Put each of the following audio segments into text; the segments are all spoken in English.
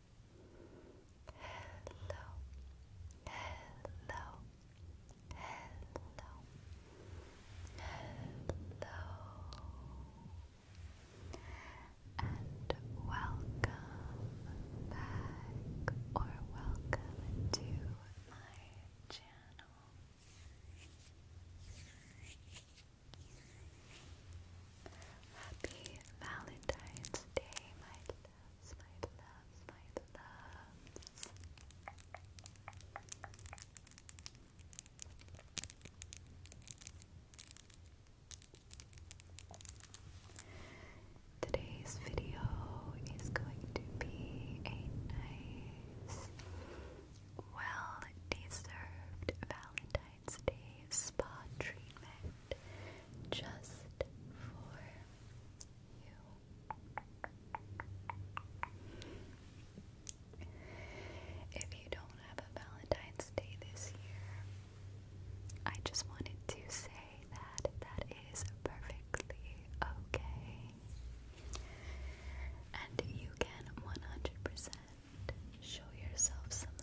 hello, hello, hello, hello, and welcome back or welcome to my channel. Happy Valentine's Day, my loves, my loves, my loves. Today's video is going to be a nice, well deserved Valentine's. Valentine's Day spa treatment just for you. If you don't have a Valentine's Day this year, I just wanted to say that that is perfectly okay. And you can 100% show yourself some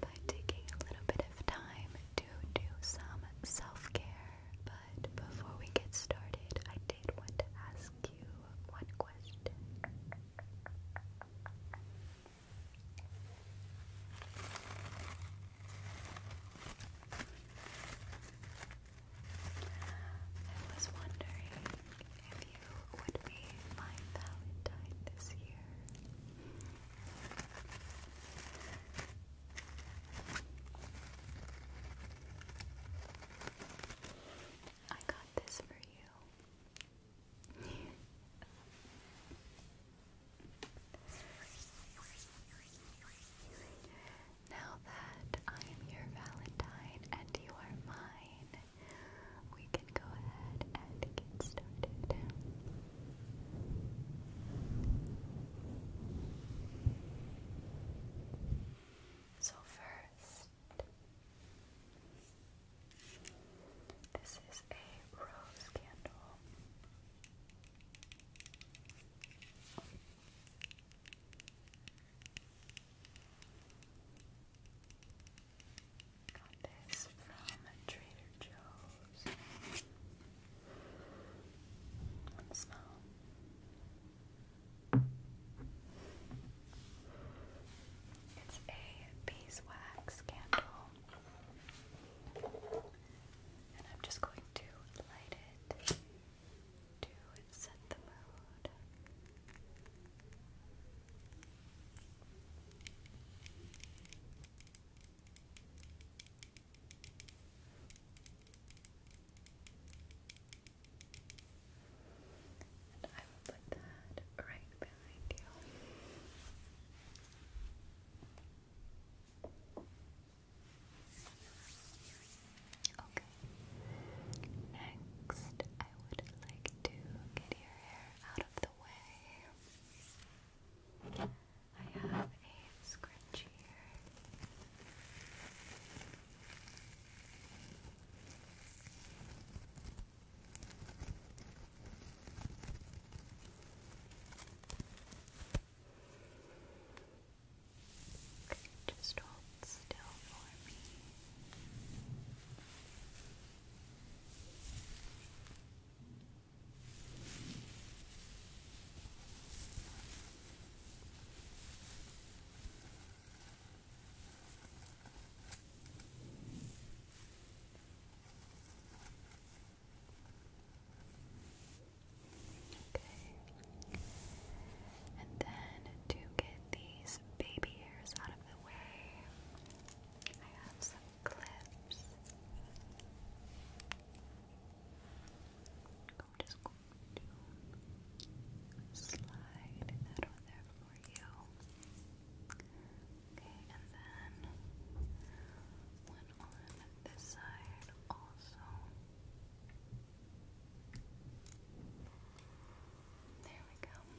by taking a little bit of time to do some self care. But before we get started, I did want to ask you one question. I was wondering you would be my Valentine this year. I got this for you. now that I am your Valentine and you are mine, we can go ahead and get started. So, first, this is a rose candle. Got this from Trader Joe's. smell. It's a beeswax candle. And I'm just going to light it to set the mood. And I will put that right behind you. Okay. Next, I would like to get your hair out of the way. I have a scrunchie here. Okay, just hold still for me. Okay. And then to get these baby hairs out of the way, I have some clips. I'm just slide that on there for you. Okay, and then one on this side also. There we go.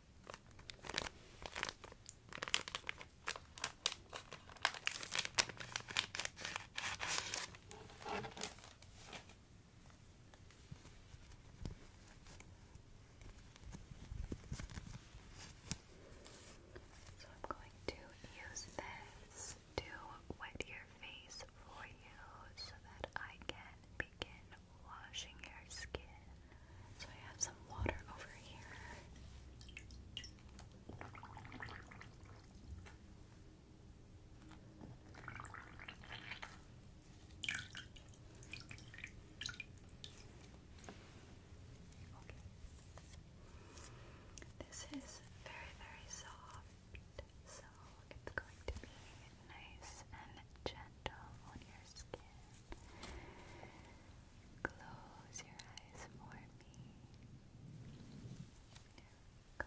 So I'm going to use this to wet your face for you so that I can begin washing your skin. So I have some water over here. This is very, very soft, so it's going to be nice and gentle on your skin. Close your eyes for me. There we go.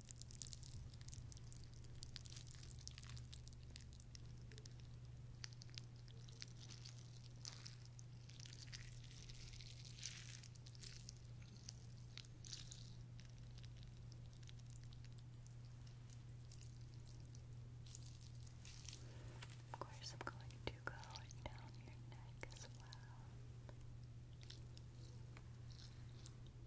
Of course, I'm going to go down your neck as well.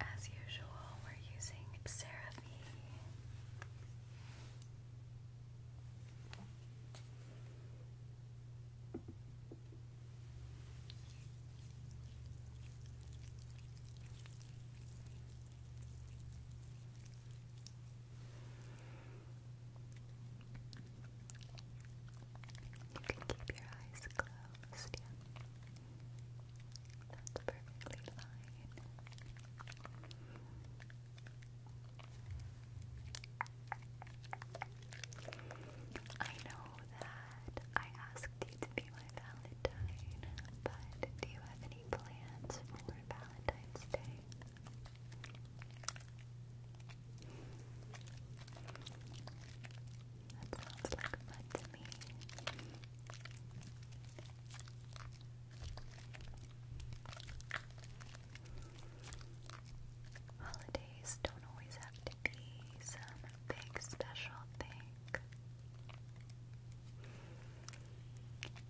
As usual, we're using Seraphie. You can keep your eyes closed, That's perfectly fine. I know that I asked you to be my Valentine, but do you have any plans for Valentine's Day? That sounds like fun to me. Holidays don't always have to be some big special thing.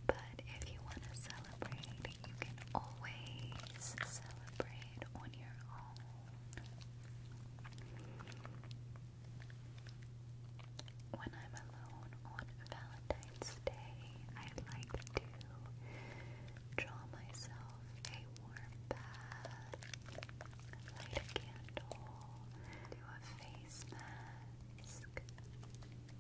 But if you want to celebrate, you can always celebrate on your own. When I'm alone on Valentine's Day, I like to draw myself a warm bath, light a candle, do a face mask,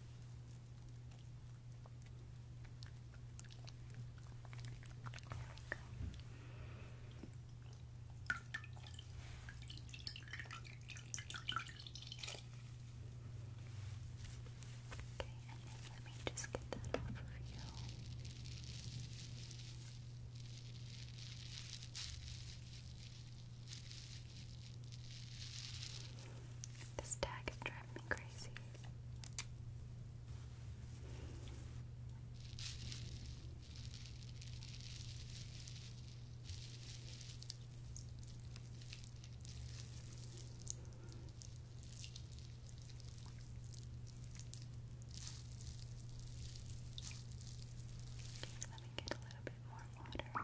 then let me just get that off of you. This tag is driving me crazy. Okay, let me me get a little bit more water.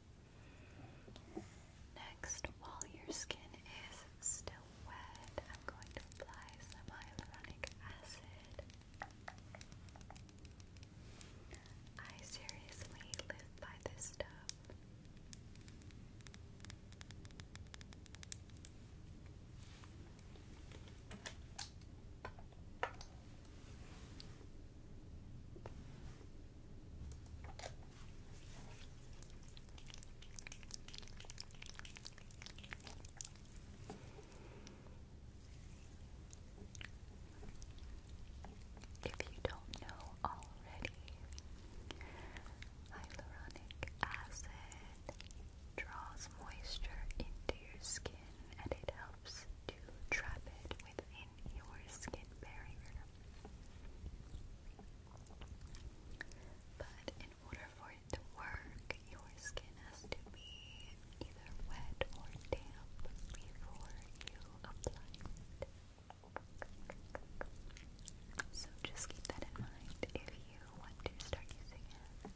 Next, while your skin is still wet, I'm going to apply some acid. I seriously live by this stuff. If you don't know already, hyaluronic acid draws moisture into your skin and it helps to trap it with your skin barrier. But in order for it to work, your skin has to be either wet or damp before you apply it. So just keep that in mind if you want to start using it.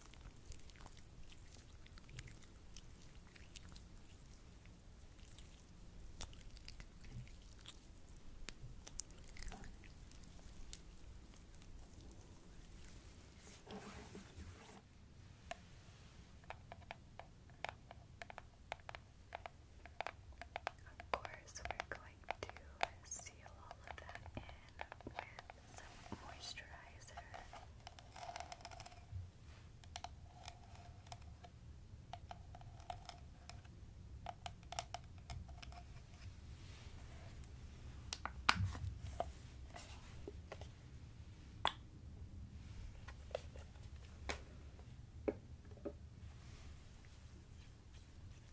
Of course, we're going to seal all of that in some moisturizer.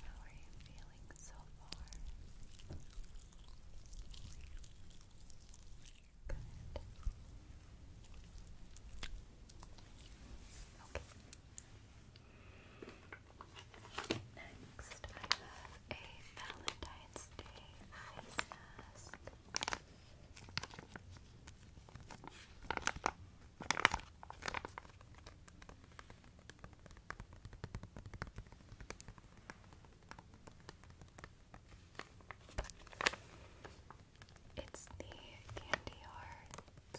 How are you feeling so far? Good. Okay. Next, I have a Valentine's Day face mask. It's the candy hearts.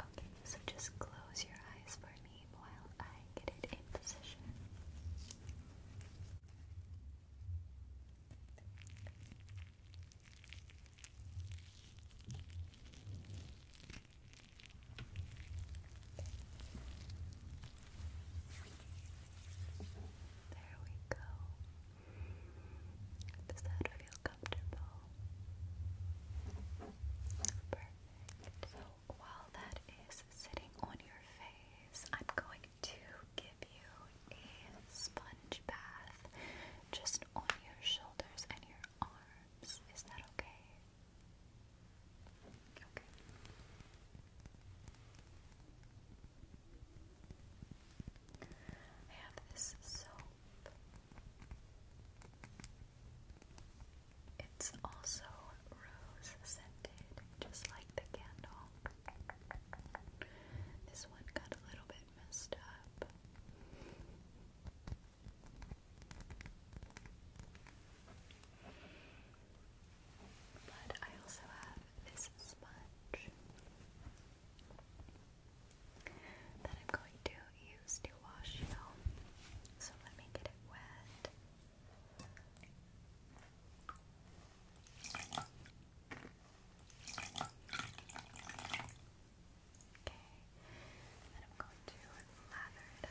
Okay, so just close your eyes for me while I get it in position. There we go. Does that feel comfortable? Perfect. So while that is sitting on your face, I'm going to give you a sponge bath just on your shoulders and your arms. Is that okay? Okay. I have this soap. It's also rose scented, just like the candle. This one got a little bit messed up. But I also have this sponge that I'm going to use to wash you. So let me get it wet. Okay, and I'm going to lather it up.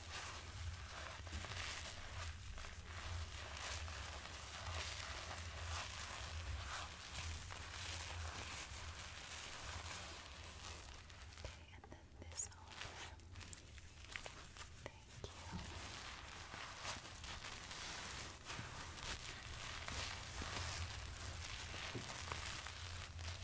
and then this over. Thank you. Okay.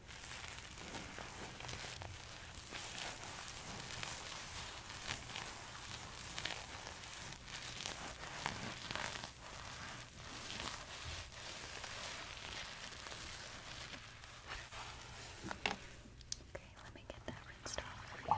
Okay, let me get that rinsed off for you.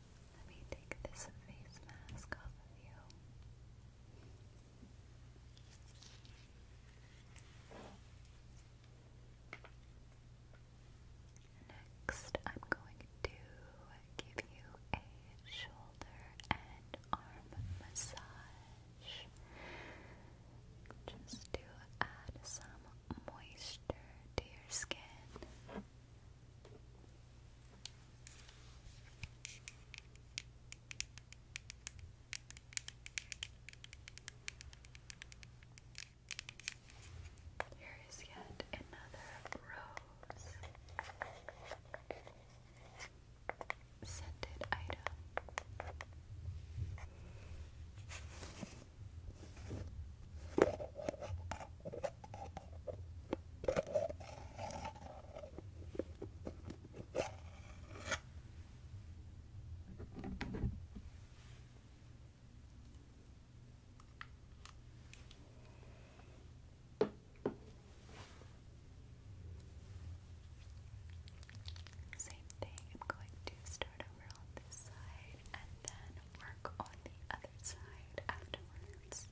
Let me take this face mask off of you. Next, I'm going to give you a shoulder and arm massage just to add some moisture to your skin. Here is yet another rose scented item. Same thing, I'm going to start over on this side and then work on the other side afterwards.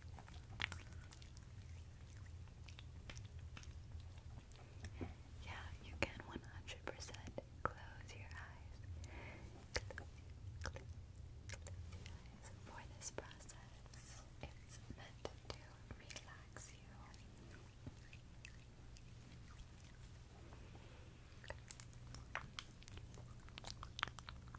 Yeah, you can 100% close your eyes. for this process. It's meant to relax you.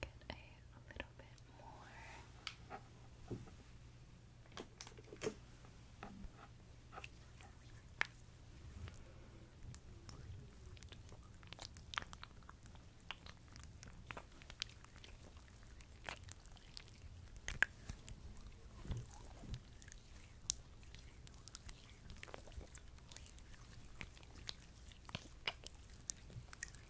Get a little bit more.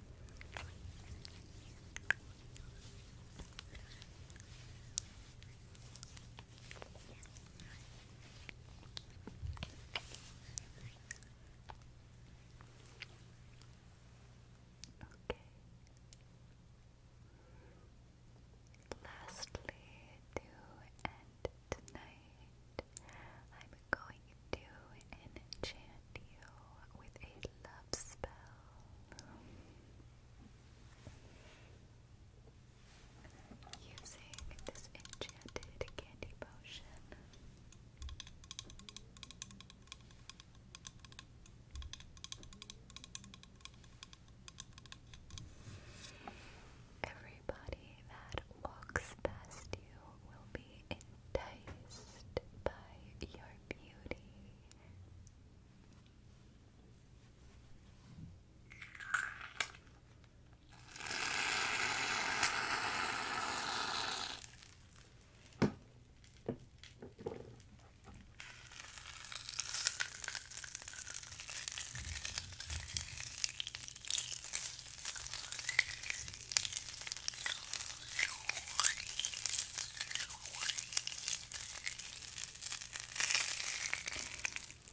Okay. Lastly, to end tonight, I'm going to enchant you with a love spell using this enchanted candy potion. Everybody that walks past you will be enticed by your beauty.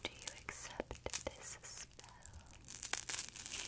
Do you accept this spell? Good.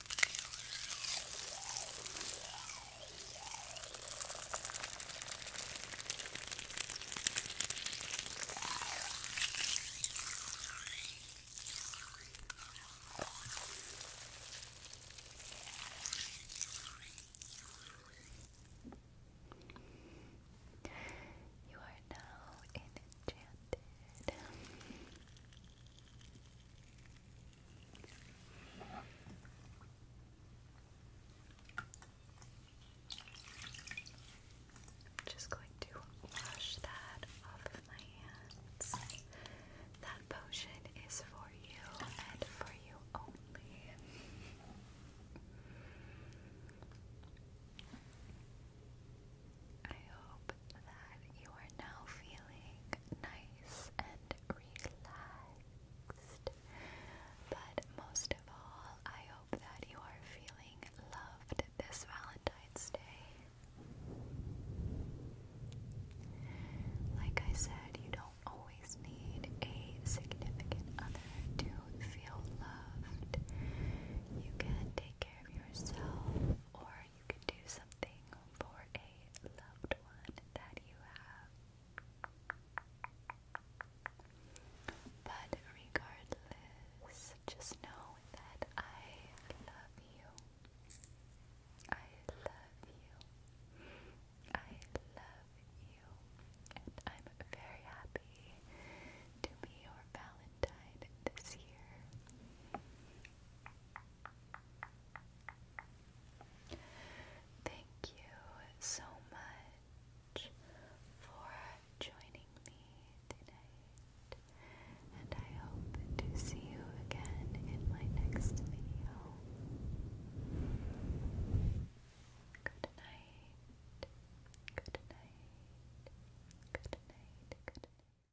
You are now enchanted. I'm Just going to wash that off of my hands. That potion is for you and for you only. I hope that you are now feeling nice and relaxed. But most of all, I hope that you are feeling loved this Valentine's Day. Like I said, you don't always need a significant other to feel loved. You can take care of yourself, or you can do something for a loved one that you have. But regardless, just know that I love you. I love you. I love you. And I'm very happy to be your Valentine this year. Thank you so much for joining me tonight, and I hope to see you again in my next video. Good night. Good night. Good night. Good night.